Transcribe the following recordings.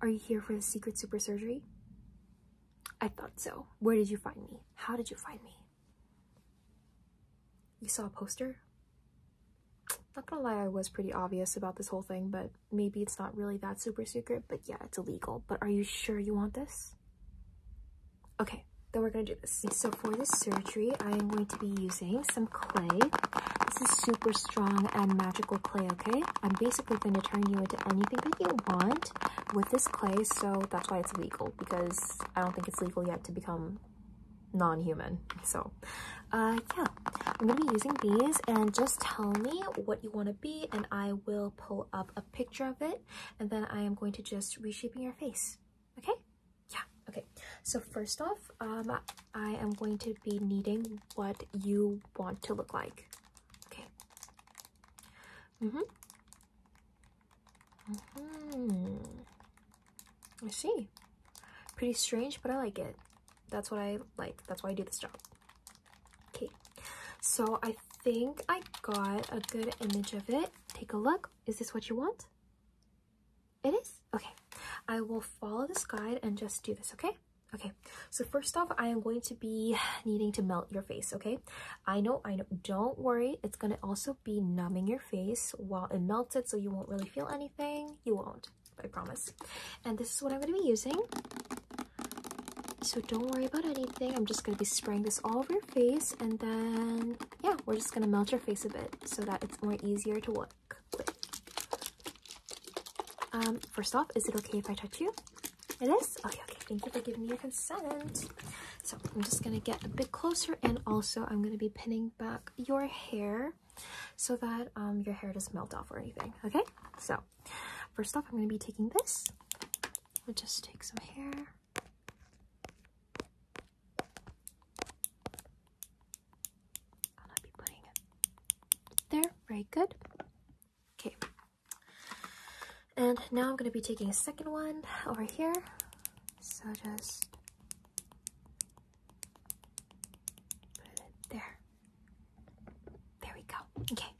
Are you here for the secret super surgery? I thought so. Where did you find me? How did you find me? You saw a poster? Not gonna lie, I was pretty obvious about this whole thing, but maybe it's not really that super secret, but yeah, it's illegal. But are you sure you want this? Okay, then we're gonna do this. So for this surgery, I am going to be using some clay. This is super strong and magical clay, okay? I'm basically going to turn you into anything that you want with this clay, so that's why it's legal, because I don't think it's legal yet to become non-human. So, uh, yeah, I'm going to be using these, and just tell me what you want to be, and I will pull up a picture of it, and then I am going to just reshaping your face, okay? Yeah, okay. So first off, um, I am going to be needing what you want to look like. Okay. Mm-hmm. Mm-hmm. I see. Pretty strange, but I like it. That's what I like. That's why I do this job. Okay. So I think I got a good image of it. Take a look. Is this what you want? It is? Okay. I will follow this guide and just do this, okay? Okay, so first off, I am going to be needing to melt your face, okay? I know, I know, don't worry. It's going to also be numbing your face while it melts it, so you won't really feel anything. You won't, I promise. And this is what I'm going to be using. So don't worry about anything. I'm just going to be spraying this all over your face, and then, yeah, we're just going to melt your face a bit so that it's more easier to, work. Um, first off, is it okay if I touch you? It is? Okay, okay, thank you for giving me your consent. So I'm just gonna get a bit closer and also I'm gonna be pinning back your hair so that um, your hair doesn't melt off or anything, okay? So first off, I'm gonna be taking this. We'll just take some hair. I'll be putting it there. Very good. Okay. And now I'm going to be taking a second one over here. So just put it there. There we go. Okay.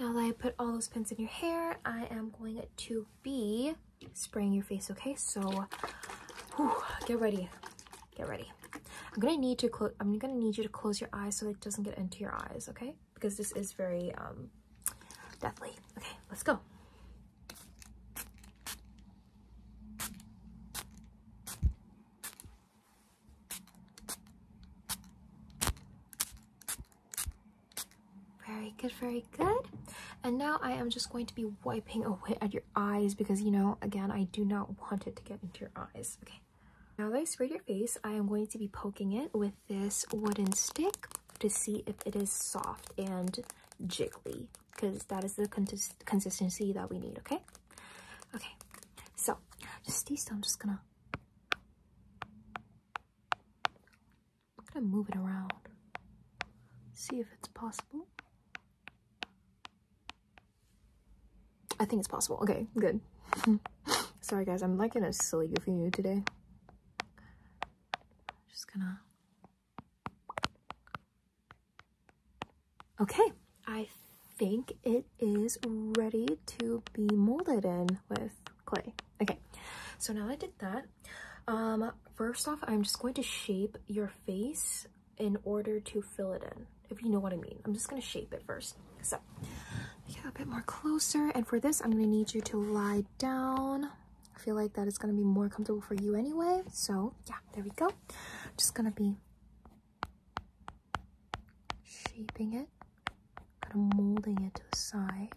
Now that I put all those pins in your hair, I am going to be spraying your face, okay? So get ready. Get ready. I'm gonna need to close. I'm gonna need you to close your eyes so it doesn't get into your eyes, okay? Because this is very um, deathly. Okay, let's go. Very good, very good. And now I am just going to be wiping away. at your eyes because, you know, again, I do not want it to get into your eyes. Okay. Now that I sprayed your face, I am going to be poking it with this wooden stick to see if it is soft and jiggly because that is the consistency that we need, okay? Okay, so just stay still. I'm just gonna, I'm gonna move it around, see if it's possible. I think it's possible. Okay, good. Sorry guys, I'm like in a silly goofy mood today. Just gonna... Okay, I think it is ready to be molded in with clay. Okay, so now I did that, um, first off, I'm just going to shape your face in order to fill it in, if you know what I mean. I'm just gonna shape it first. So, get a bit more closer. And for this, I'm gonna need you to lie down. I feel like that is gonna be more comfortable for you anyway. So yeah, there we go. Just gonna be shaping it, kind of molding it to the side.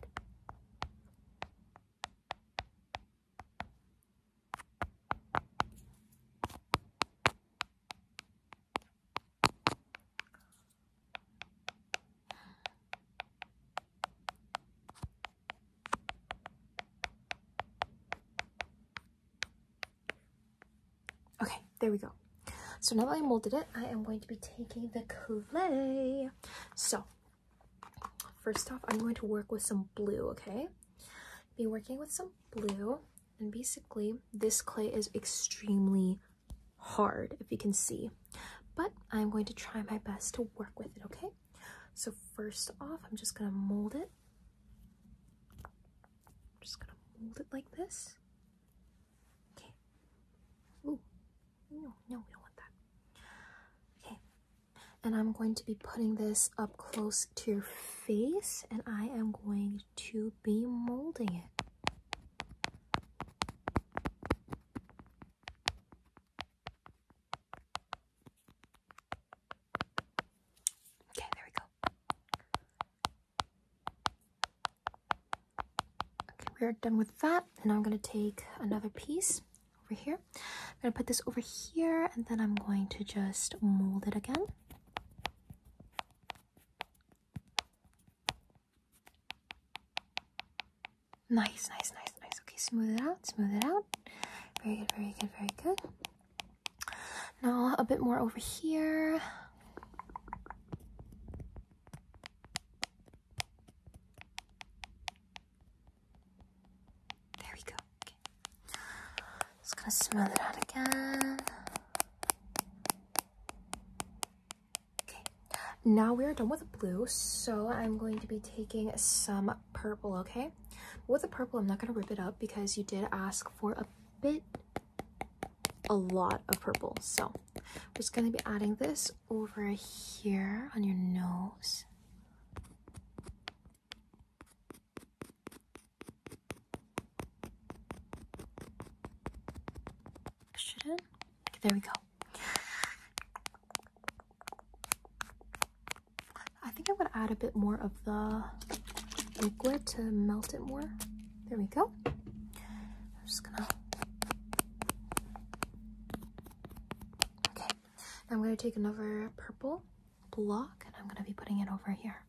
Okay, there we go. So now that I molded it, I am going to be taking the clay. So first off, I'm going to work with some blue, okay? Be working with some blue. And basically, this clay is extremely hard, if you can see. But I'm going to try my best to work with it, okay? So first off, I'm just going to mold it. I'm just going to mold it like this. Okay. No, no, we don't want that. Okay and I'm going to be putting this up close to your face and I am going to be molding it. Okay, there we go. Okay, we're done with that Now I'm going to take another piece over here I'm going to put this over here and then I'm going to just mold it again. Nice, nice, nice, nice. Okay, smooth it out, smooth it out. Very good, very good, very good. Now a bit more over here. There we go. Just gonna smell it out again. Okay. Now we are done with blue, so I'm going to be taking some purple, okay? With the purple, I'm not gonna rip it up because you did ask for a bit, a lot of purple. So I'm just gonna be adding this over here on your nose. Should it? there we go. I think I'm gonna add a bit more of the liquid to melt it more. There we go. I'm just gonna. Okay, I'm gonna take another purple block and I'm going to be putting it over here.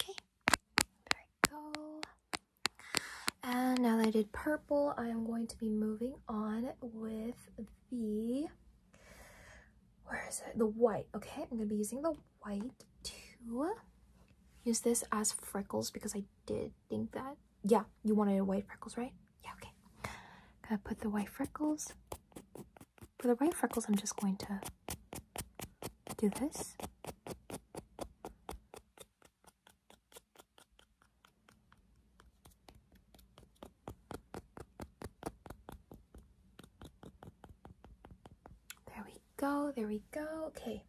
Okay, there we go. And now that I did purple, I am going to be moving on with the, where is it? The white. Okay, I'm going to be using the white too. Use this as freckles because I did think that. Yeah, you wanted white freckles, right? Yeah, okay. Gonna put the white freckles. For the white freckles, I'm just going to do this. There we go. There we go. Okay.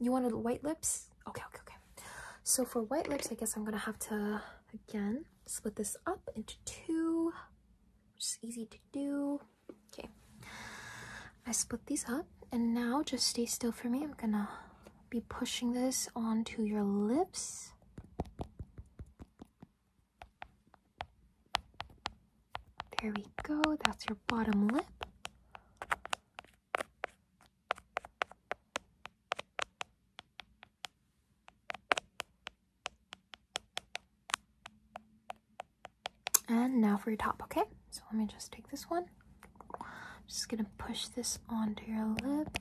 You wanted white lips? Okay, okay, okay. So for white lips, I guess I'm gonna have to again split this up into two, which is easy to do. Okay. I split these up and now just stay still for me. I'm gonna be pushing this onto your lips. There we go. That's your bottom lip. And now for your top, okay? So let me just take this one. I'm just gonna push this onto your lip.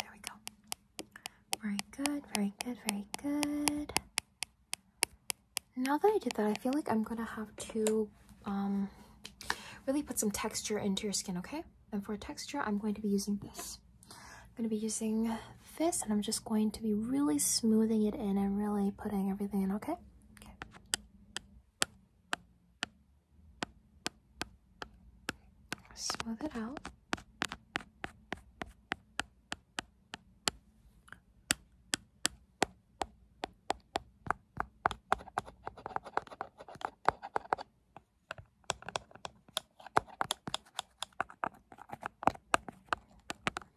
There we go. Very good, very good, very good. Now that I did that, I feel like I'm gonna have to um, really put some texture into your skin, okay? And for texture, I'm going to be using this. I'm gonna be using this and I'm just going to be really smoothing it in and really putting everything in, okay? okay. Smooth it out.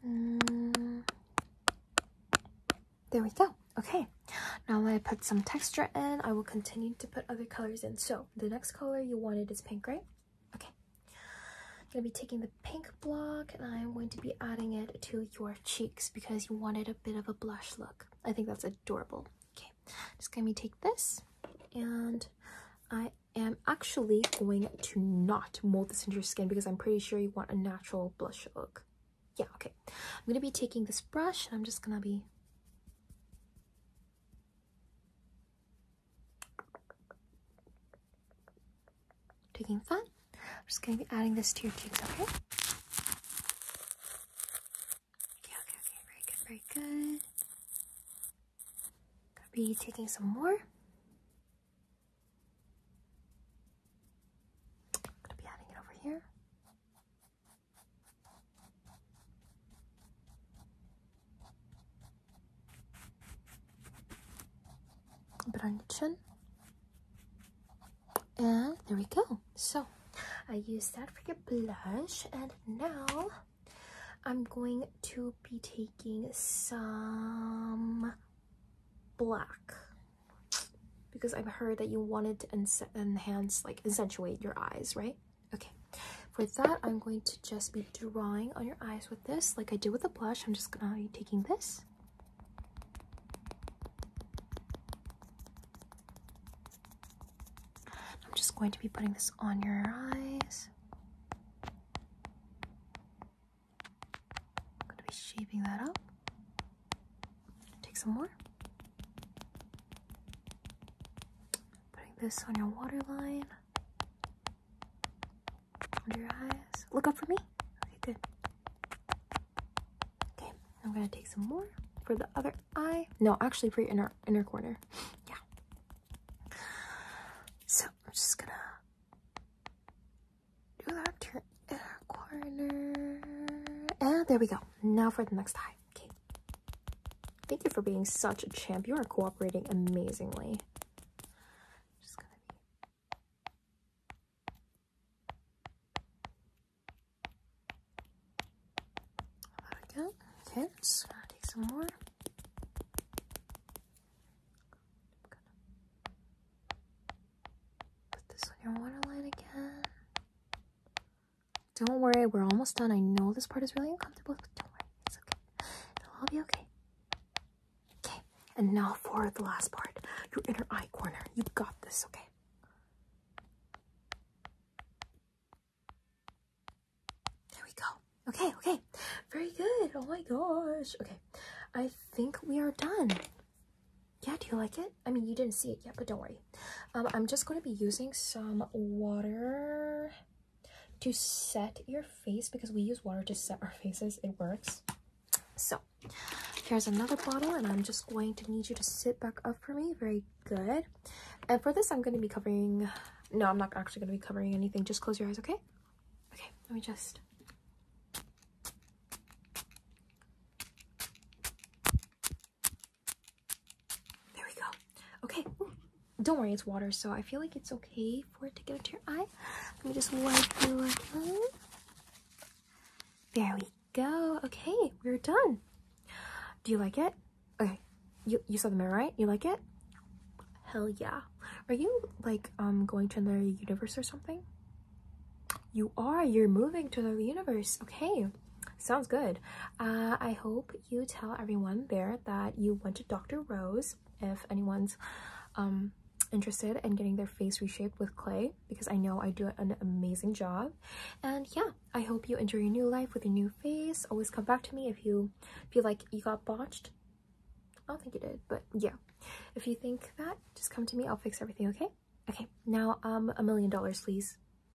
Mm. There we go. Okay, now I put some texture in. I will continue to put other colors in. So the next color you wanted is pink, right? Okay. I'm going to be taking the pink block and I'm going to be adding it to your cheeks because you wanted a bit of a blush look. I think that's adorable. Okay. Just going to take this and I am actually going to not mold this into your skin because I'm pretty sure you want a natural blush look. Yeah, okay. I'm going to be taking this brush and I'm just going to be Taking fun. I'm just going to be adding this to your cheeks, okay? Okay, okay, okay. Very good, very good. Gonna be taking some more. Gonna be adding it over here. Brunchen. And there we go. So I use that for your blush, and now I'm going to be taking some black because I've heard that you wanted to enhance, like, accentuate your eyes, right? Okay, for that, I'm going to just be drawing on your eyes with this, like I did with the blush. I'm just gonna be uh, taking this. I'm just going to be putting this on your eyes. I'm going to be shaping that up. Take some more. Putting this on your waterline. Under your eyes. Look up for me. Okay, good. Okay, I'm gonna take some more for the other eye. No, actually for your inner inner corner. Yeah. So I'm just gonna do that to your inner corner. And there we go. Now for the next eye. Okay. Thank you for being such a champ. You are cooperating amazingly. Just gonna be. There we go. Okay, just uh, gonna take some more. Put this on your waterline again. Don't worry, we're almost done. I know this part is really uncomfortable, but don't worry, it's okay. It'll all be okay. Okay, and now for the last part your inner eye corner. You've got this, okay? There we go. Okay, okay. Very good. Oh my gosh. Okay, I think we are done. Yeah, do you like it? I mean, you didn't see it yet, but don't worry. Um, I'm just going to be using some water to set your face because we use water to set our faces. It works. So here's another bottle and I'm just going to need you to sit back up for me. Very good. And for this, I'm going to be covering... No, I'm not actually going to be covering anything. Just close your eyes, okay? Okay, let me just... There we go. Okay. Don't worry, it's water, so I feel like it's okay for it to get into your eye. Let me just wipe you again. There we go. Okay, we're done. Do you like it? Okay. You you saw the mirror, right? You like it? Hell yeah. Are you like um going to another universe or something? You are. You're moving to another universe. Okay. Sounds good. Uh, I hope you tell everyone there that you went to Dr. Rose if anyone's um, interested in getting their face reshaped with clay because I know I do an amazing job. And yeah, I hope you enjoy your new life with your new face. Always come back to me if you feel like you got botched. I don't think you did, but yeah. If you think that, just come to me. I'll fix everything, okay? Okay, now um, a million dollars, please.